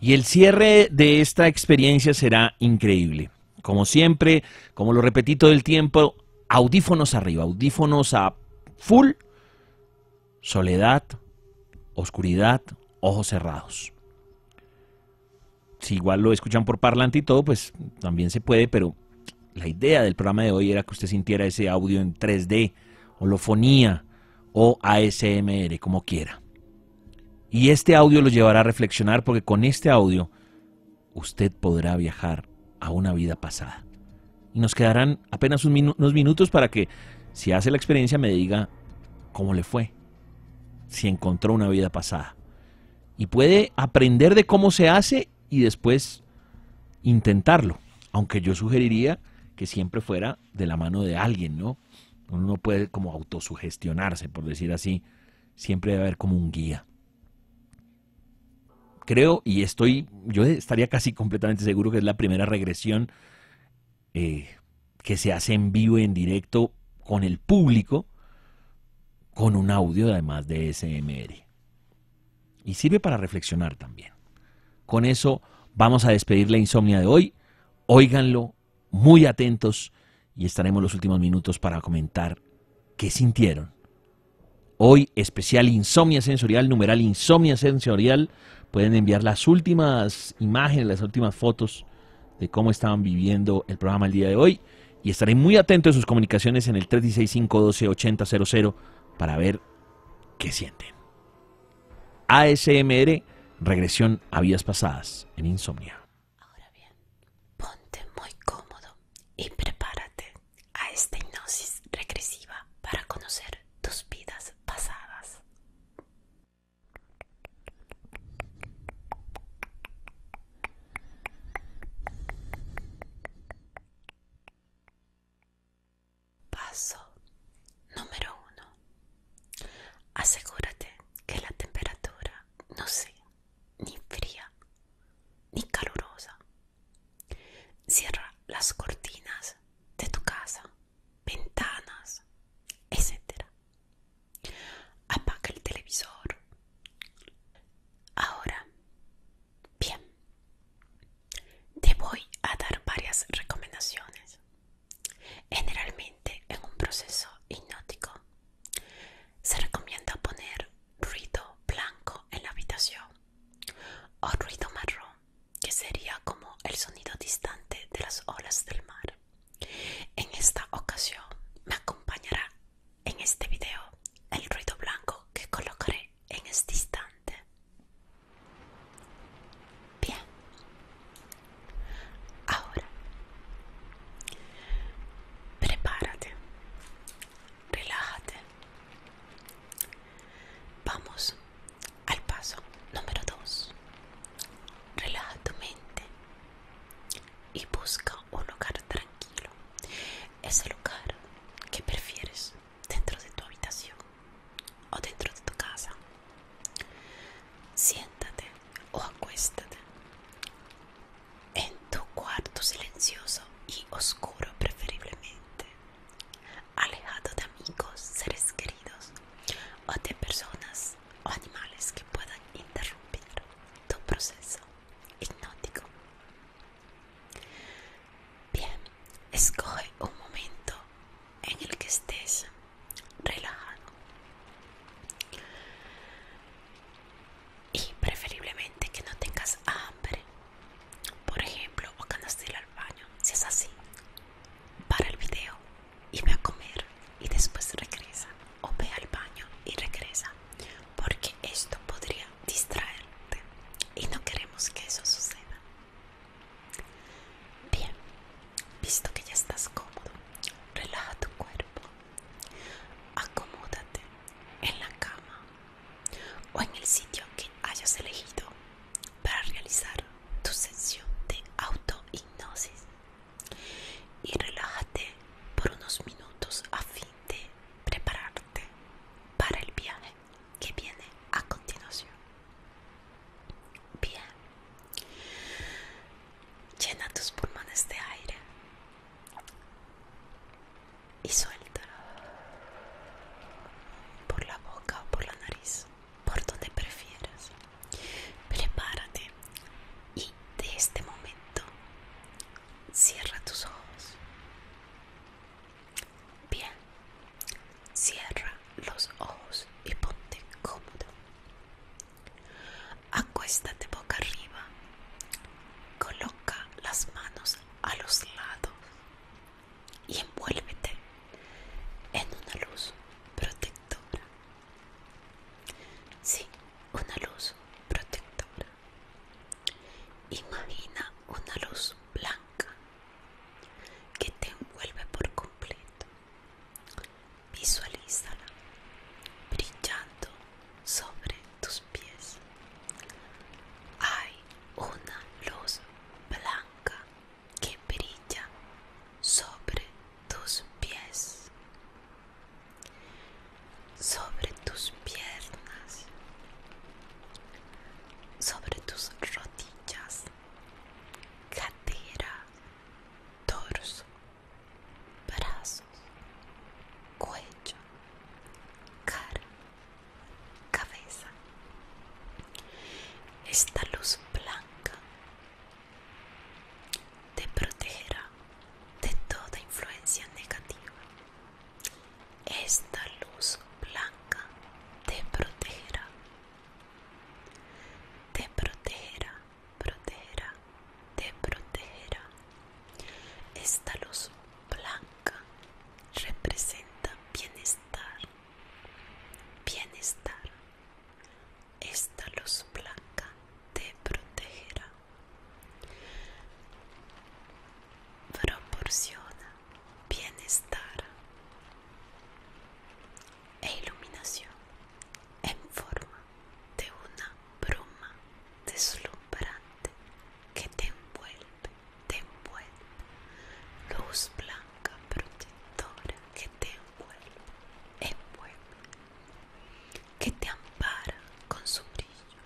Y el cierre de esta experiencia será increíble. Como siempre, como lo repetí todo el tiempo, audífonos arriba, audífonos a full, soledad, oscuridad, ojos cerrados. Si igual lo escuchan por parlante y todo, pues también se puede, pero la idea del programa de hoy era que usted sintiera ese audio en 3D, holofonía o ASMR, como quiera. Y este audio lo llevará a reflexionar porque con este audio usted podrá viajar a una vida pasada. Y nos quedarán apenas unos minutos para que, si hace la experiencia, me diga cómo le fue, si encontró una vida pasada. Y puede aprender de cómo se hace y después intentarlo, aunque yo sugeriría que siempre fuera de la mano de alguien, ¿no? Uno no puede como autosugestionarse, por decir así, siempre debe haber como un guía. Creo y estoy, yo estaría casi completamente seguro que es la primera regresión eh, que se hace en vivo, en directo, con el público, con un audio además de SMR. Y sirve para reflexionar también. Con eso vamos a despedir la insomnia de hoy. Óiganlo muy atentos y estaremos los últimos minutos para comentar qué sintieron. Hoy especial insomnia sensorial, numeral insomnia sensorial. Pueden enviar las últimas imágenes, las últimas fotos de cómo estaban viviendo el programa el día de hoy. Y estaré muy atento a sus comunicaciones en el cero cero para ver que sienten. ASMR, regresión a vidas pasadas en insomnia. Ahora bien, ponte muy cómodo y prepárate a esta hipnosis regresiva para conocer tus vidas pasadas. Paso número 1. Asegúrate que la temperatura no sea ni fría ni calurosa. Cierra las cortinas de tu casa, ventanas, etc. Apaga el televisor. Ahora, bien, te voy a dar varias recomendaciones. Generalmente en un proceso hipnótico se recomienda poner ruido blanco en la habitación o ruido marrón, que sería como el sonido distante de las olas del mar. En esta ocasión me acompañará en este video el ruido blanco que colocaré en este instante. Bien. Ahora, prepárate, relájate. Vamos al paso número 2. Relaja tu mente y busca un lugar tranquilo ese lugar que prefieres dentro de tu habitación o dentro de tu casa. Siéntate o acuéstate en tu cuarto silencioso y oscuro preferiblemente, alejado de amigos, seres queridos o de personas o animales que puedan interrumpir tu proceso hipnótico. Bien, escoge un momento en el que estés relajado y preferiblemente que no tengas hambre, por ejemplo, o que al baño. Si es así, para el video y ve a comer y después regresa, o ve al baño y regresa, porque esto podría distraerte y no queremos que eso suceda. Bien, visto que ya estás cómodo, relaja tu cuerpo, acomódate en la cama o en el sitio que hayas elegido para realizar tu sesión de autohipnosis y relájate por unos minutos a fin de prepararte para el viaje que viene a continuación. Bien, llena tus pulmones de aire y suéltalo por la boca o por la nariz, por donde prefieras. Prepárate y de este momento Cierra tus ojos. Bien. Cierra los ojos y ponte cómodo. Acuéstate boca arriba. Coloca las manos a los lados y envuélvete en una luz protectora. Sí, una luz protectora. Imagina una luz blanca que te envuelve por completo. Visualízala brillando sobre tus pies. Hay una luz blanca que brilla sobre tus pies sobre tus piernas, sobre tus rodillas, cadera, torso, brazos, cuello, cara, cabeza. Esta luz blanca te protegerá de toda influencia negativa. Esta luz blanca te protegerá. Te protegerá, protegerá, te protegerá. Esta luz blanca representa bienestar. Bienestar. Esta luz blanca te protegerá. Proporciona bienestar e iluminación en forma de una broma deslumbrante que te envuelve, te envuelve, luz blanca protectora que te envuelve, envuelve que te ampara con su brillo,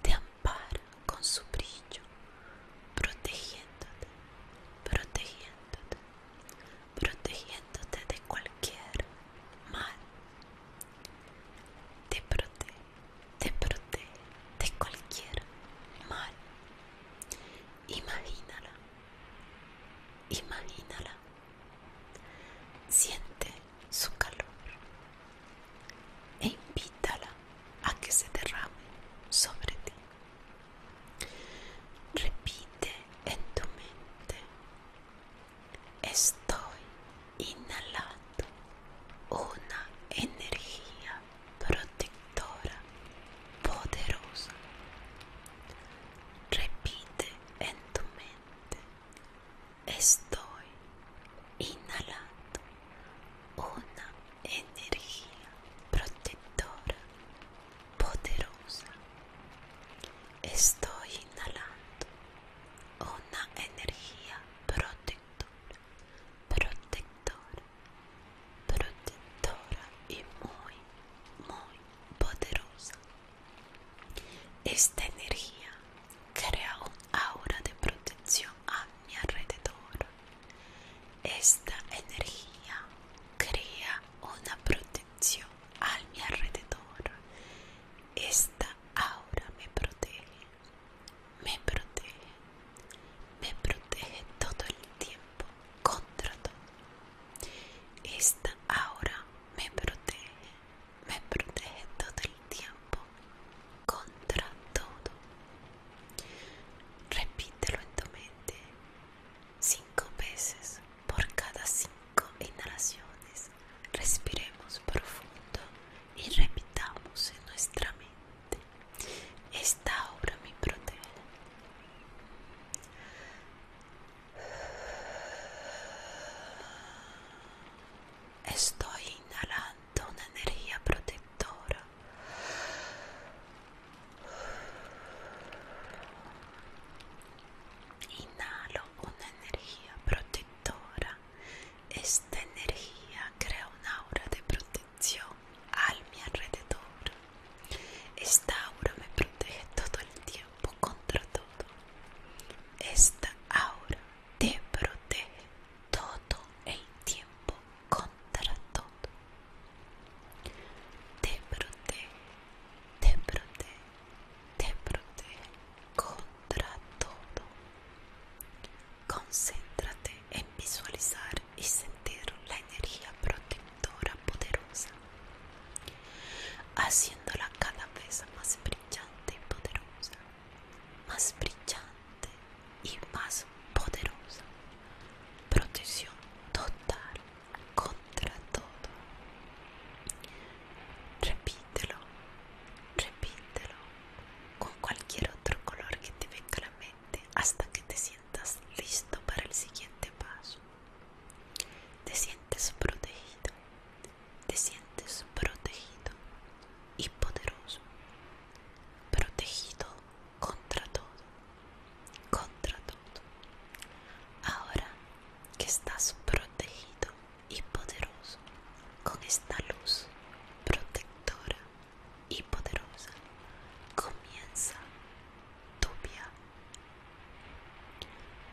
te ampara con su brillo, protegiéndote, protegiéndote, protegiéndote de cualquier mal. Te protege, te protege de cualquier mal. Imagínala, imagínala Siente su calor e invítala a que se derrame sobre ti. Repite en tu mente, estoy inhalando una energía protectora poderosa. Repite en tu mente, Estoy inhalando una energía protectora poderosa. Estoy inhalando una energía protectora, protectora, protectora y muy, muy poderosa. Esta energía crea un aura de protección a mi alrededor. Esta energía crea una protección a mi alrededor. Esta aura me protege, me protege, me protege todo el tiempo contra todo. Esta aura me protege, me protege todo el tiempo contra todo. Repítelo en tu mente cinco veces por cada cinco inhalaciones. Respiremos profundo y repitamos en nuestra mente. Esta obra me protege. Estoy inhalando una energía protectora. Inhalo una energía protectora. Esta energía crea una aura de protección al mi alrededor. Esta aura me protege todo el tiempo contra todo. Esta aura te protege todo el tiempo contra todo. Te protege, te protege, te protege contra todo. Concéntrate en visualizar y sentir la energía protectora poderosa haciéndola cada vez más brillante y poderosa, más brillante y más poderosa. Protección total contra todo. Repítelo, repítelo con cualquier otro color que te venga a la mente hasta que te sientas listo para el siguiente paso. Te sientes protegido, te sientes protegido y poderoso, protegido contra todo, contra todo. Ahora que estás protegido y poderoso con esta luz protectora y poderosa, comienza tu viaje.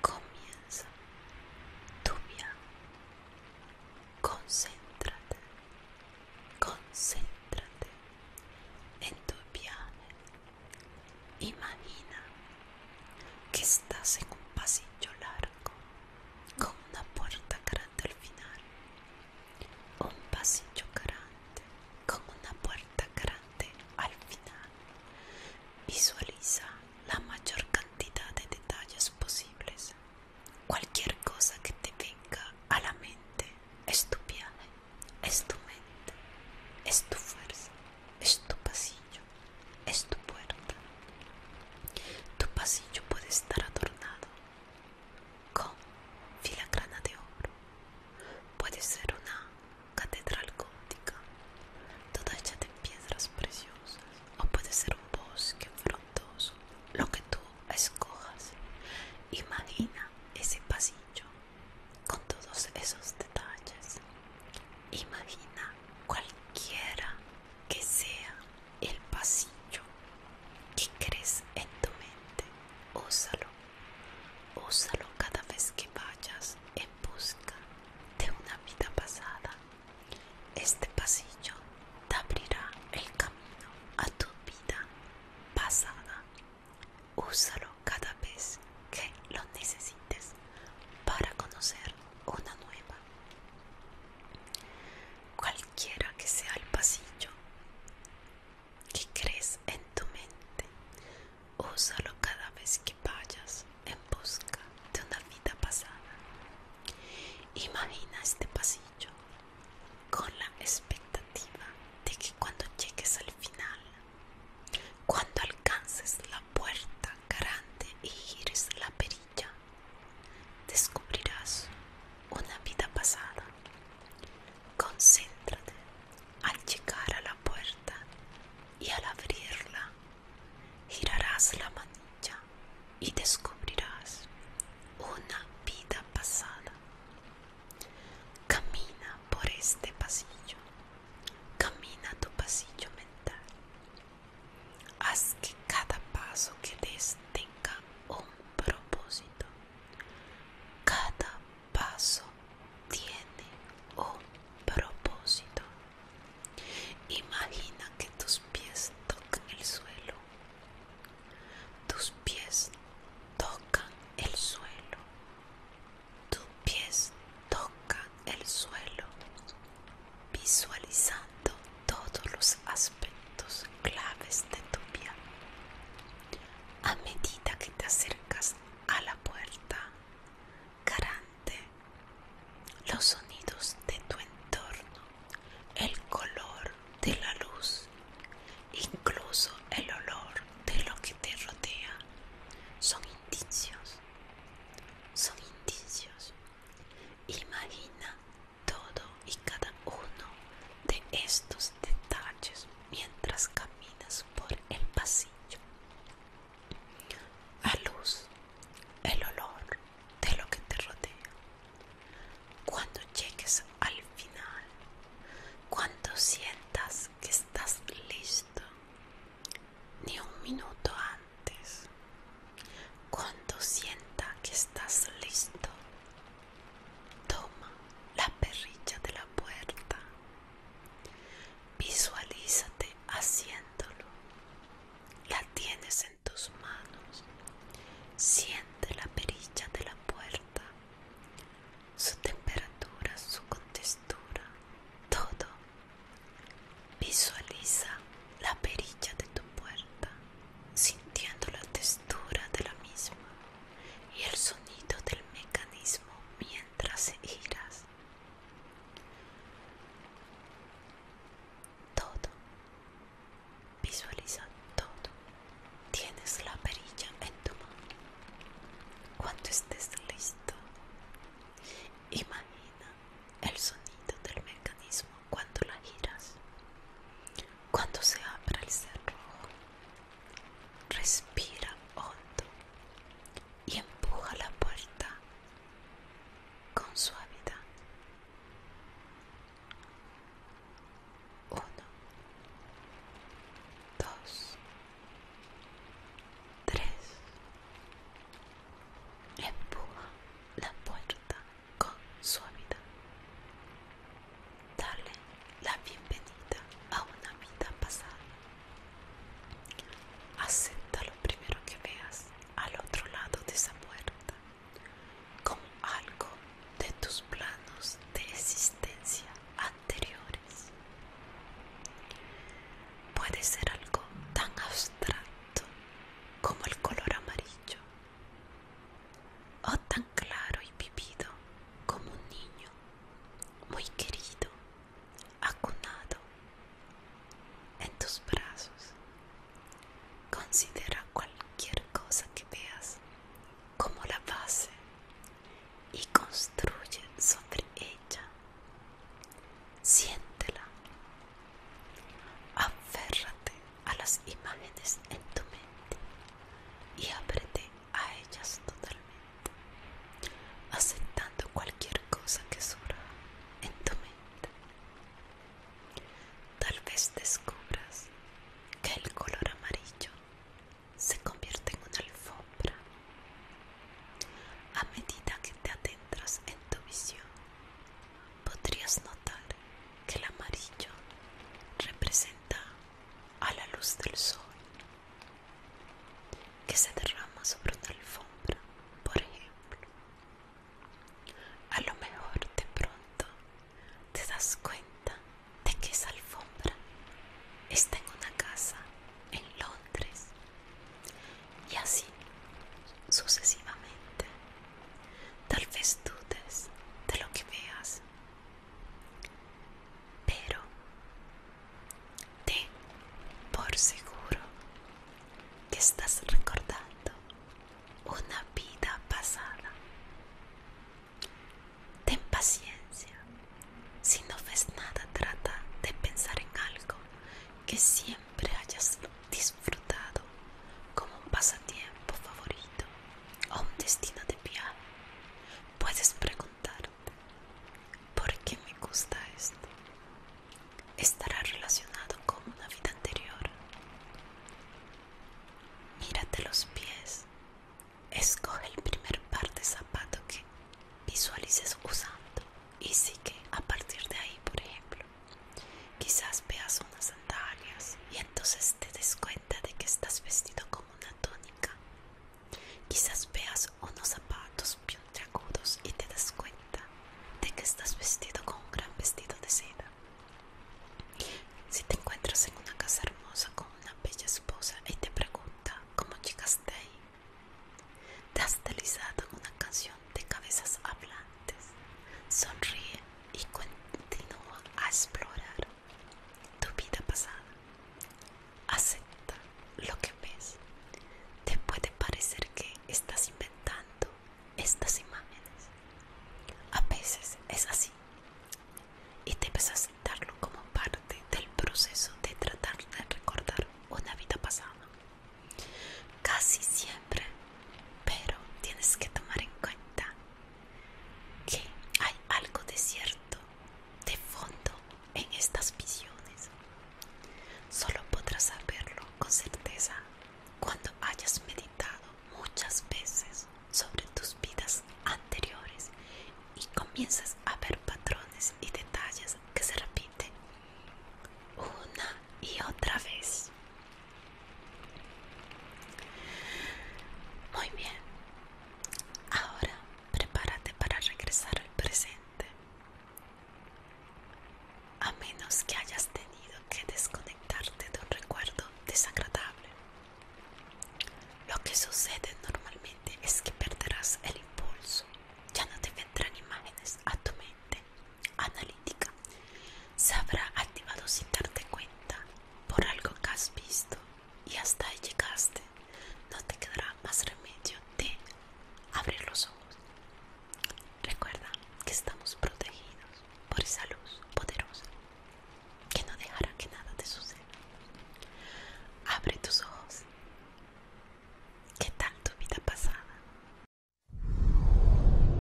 Comienza tu viaje. Concéntrate, concéntrate en tu viaje. Imagina que estás en un pasillo largo con una puerta grande al final. Un pasillo grande con una puerta grande al final Visualiza la mayor cantidad de detalles posibles. Cualquier cosa que te venga a la mente es tu viaje, es tu mente, es tu fuerza, es tu pasillo, es tu puerta. Tu pasillo puede estar adornado con filigrana de oro. Puede ser una catedral gótica, toda hecha de piedras preciosas, o puede ser un bosque frondoso, lo que tú escojas. Imagina ese pasillo con todos esos detalles. Imagina cualquiera que sea el pasillo que crees en tu mente. Úsalo Úsalo cada vez que vayas en busca de una vida pasada. Este pasillo te abrirá el camino a tu vida pasada. Úsalo cada vez que lo necesites para conocer una nueva. Cualquiera que sea el pasillo, que crees en tu mente. Úsalo cada vez que vayas en busca de una vida pasada. Imagina este pasillo con la expectativa de que cuando llegues al final, cuando alcances la puerta grande y gires la perilla, descubrirás una vida pasada. Concéntrate al llegar a la puerta y al abrirla girarás la manilla y descubrirás una vida pasada. Camina por este pasillo, camina tu pasillo mental. Haz que cada paso que des tenga un propósito. Cada paso tiene un propósito. Imagina que tus pies tocan el suelo. Tus pies tocan el suelo. Tus pies tocan el suelo. Visualizando todos los aspectos claves de tu vida. A medida que te acercas a la puerta garante los sonidos de tu entorno el color de la luz incluso el olor de lo que te rodea son indicios son indicios imagina todo y cada uno de estos detalles mientras caminas por el pasillo. A luz, el olor de lo que te rodea. Cuando llegues al final, cuando sientas que estás listo, ni un minuto antes, cuando sienta que estás listo, Toma la perilla de la puerta. Visualízate haciéndolo. La tienes en tus manos. Siente la perilla de la puerta. Su temperatura, su contextura, todo. Visualiza la perilla de tu puerta, sintiendo la textura de la misma y el sonido del mecanismo mientras giras. Todo. Visualiza todo. Tienes la perilla en tu mano. Cuando estés listo, imagina el sonido del mecanismo cuando la giras. Cuando se abre el cerrojo, respira hondo y empuja la puerta con suavidad 1 2 3 empuja la puerta con suavidad Dale la bienvenida a una vida pasada. Acepta lo primero que veas al otro lado de esa puerta como algo de tus planos de existencia anteriores. Puede ser algo tan abstracto como el color amarillo oh tan claro y vivido como un niño, muy querido, acunado en tus brazos. Considera cualquier cosa que veas como la base y construye sobre ella. Siéntela, aférrate a las imágenes en tu mente y ábrete a ellas totalmente, aceptando cualquier cosa que surja en tu mente. Tal vez descubras que el color amarillo se convierte en una alfombra. A medida que te adentras en tu visión, podrías notar que el amarillo representa a la luz del sol que se derrama sobre una alfombra, por ejemplo. A lo mejor de pronto te das cuenta de que esa alfombra está en una casa en Londres y así sucesivamente. Tal vez dudes de lo que veas pero ten por seguro que estás recordando una vida pasada. Ten paciencia. Si no ves nada, trata de pensar en algo que siempre hayas disfrutado como un pasatiempo favorito o un destino de viaje, puedes preguntarte, ¿por qué me gusta esto? ¿Estará relacionado con una vida anterior? Mírate los pies, escoge el primer par de zapatos que visualices usando y sigue a partir de ahí, por ejemplo. Quizás veas unas sandalias y entonces te des de que estás vestido como una tónica. Quizás veas unos zapatos puntiagudos y te das cuenta de que estás vestido con un gran vestido de seda. Si te encuentras en una casa hermosa con una bella esposa y te pregunta cómo llegaste ahí, te has deslizado en una canción de cabezas hablantes. Sonríe y continúa a explorar tu vida pasada. Acepta lo que ves. Te puede parecer que estás inventando estas imágenes. A veces es así. Y debes aceptarlo como parte del proceso de tratar de recordar una vida pasada. Casi siempre, pero tienes que tomar en cuenta que hay algo de cierto de fondo en estas visiones. Solo podrás saberlo con certeza cuando hayas meditado muchas veces sobre tus vidas anteriores y comienzas a ver patrones y detalles que se repiten una y otra vez. Muy bien, ahora prepárate para regresar al presente. A menos que hayas tenido que desconectarte de un recuerdo desagradable. Lo que sucede normalmente es que perderás el impulso. Ya no te vendrán imágenes a tu mente analítica se habrá activado sin darte cuenta por algo que has visto y hasta ahí llegaste no te quedará más remedio de abrir los ojos recuerda que estamos protegidos por esa luz poderosa que no dejará que nada te suceda abre tus ojos Que tal tu vida pasada?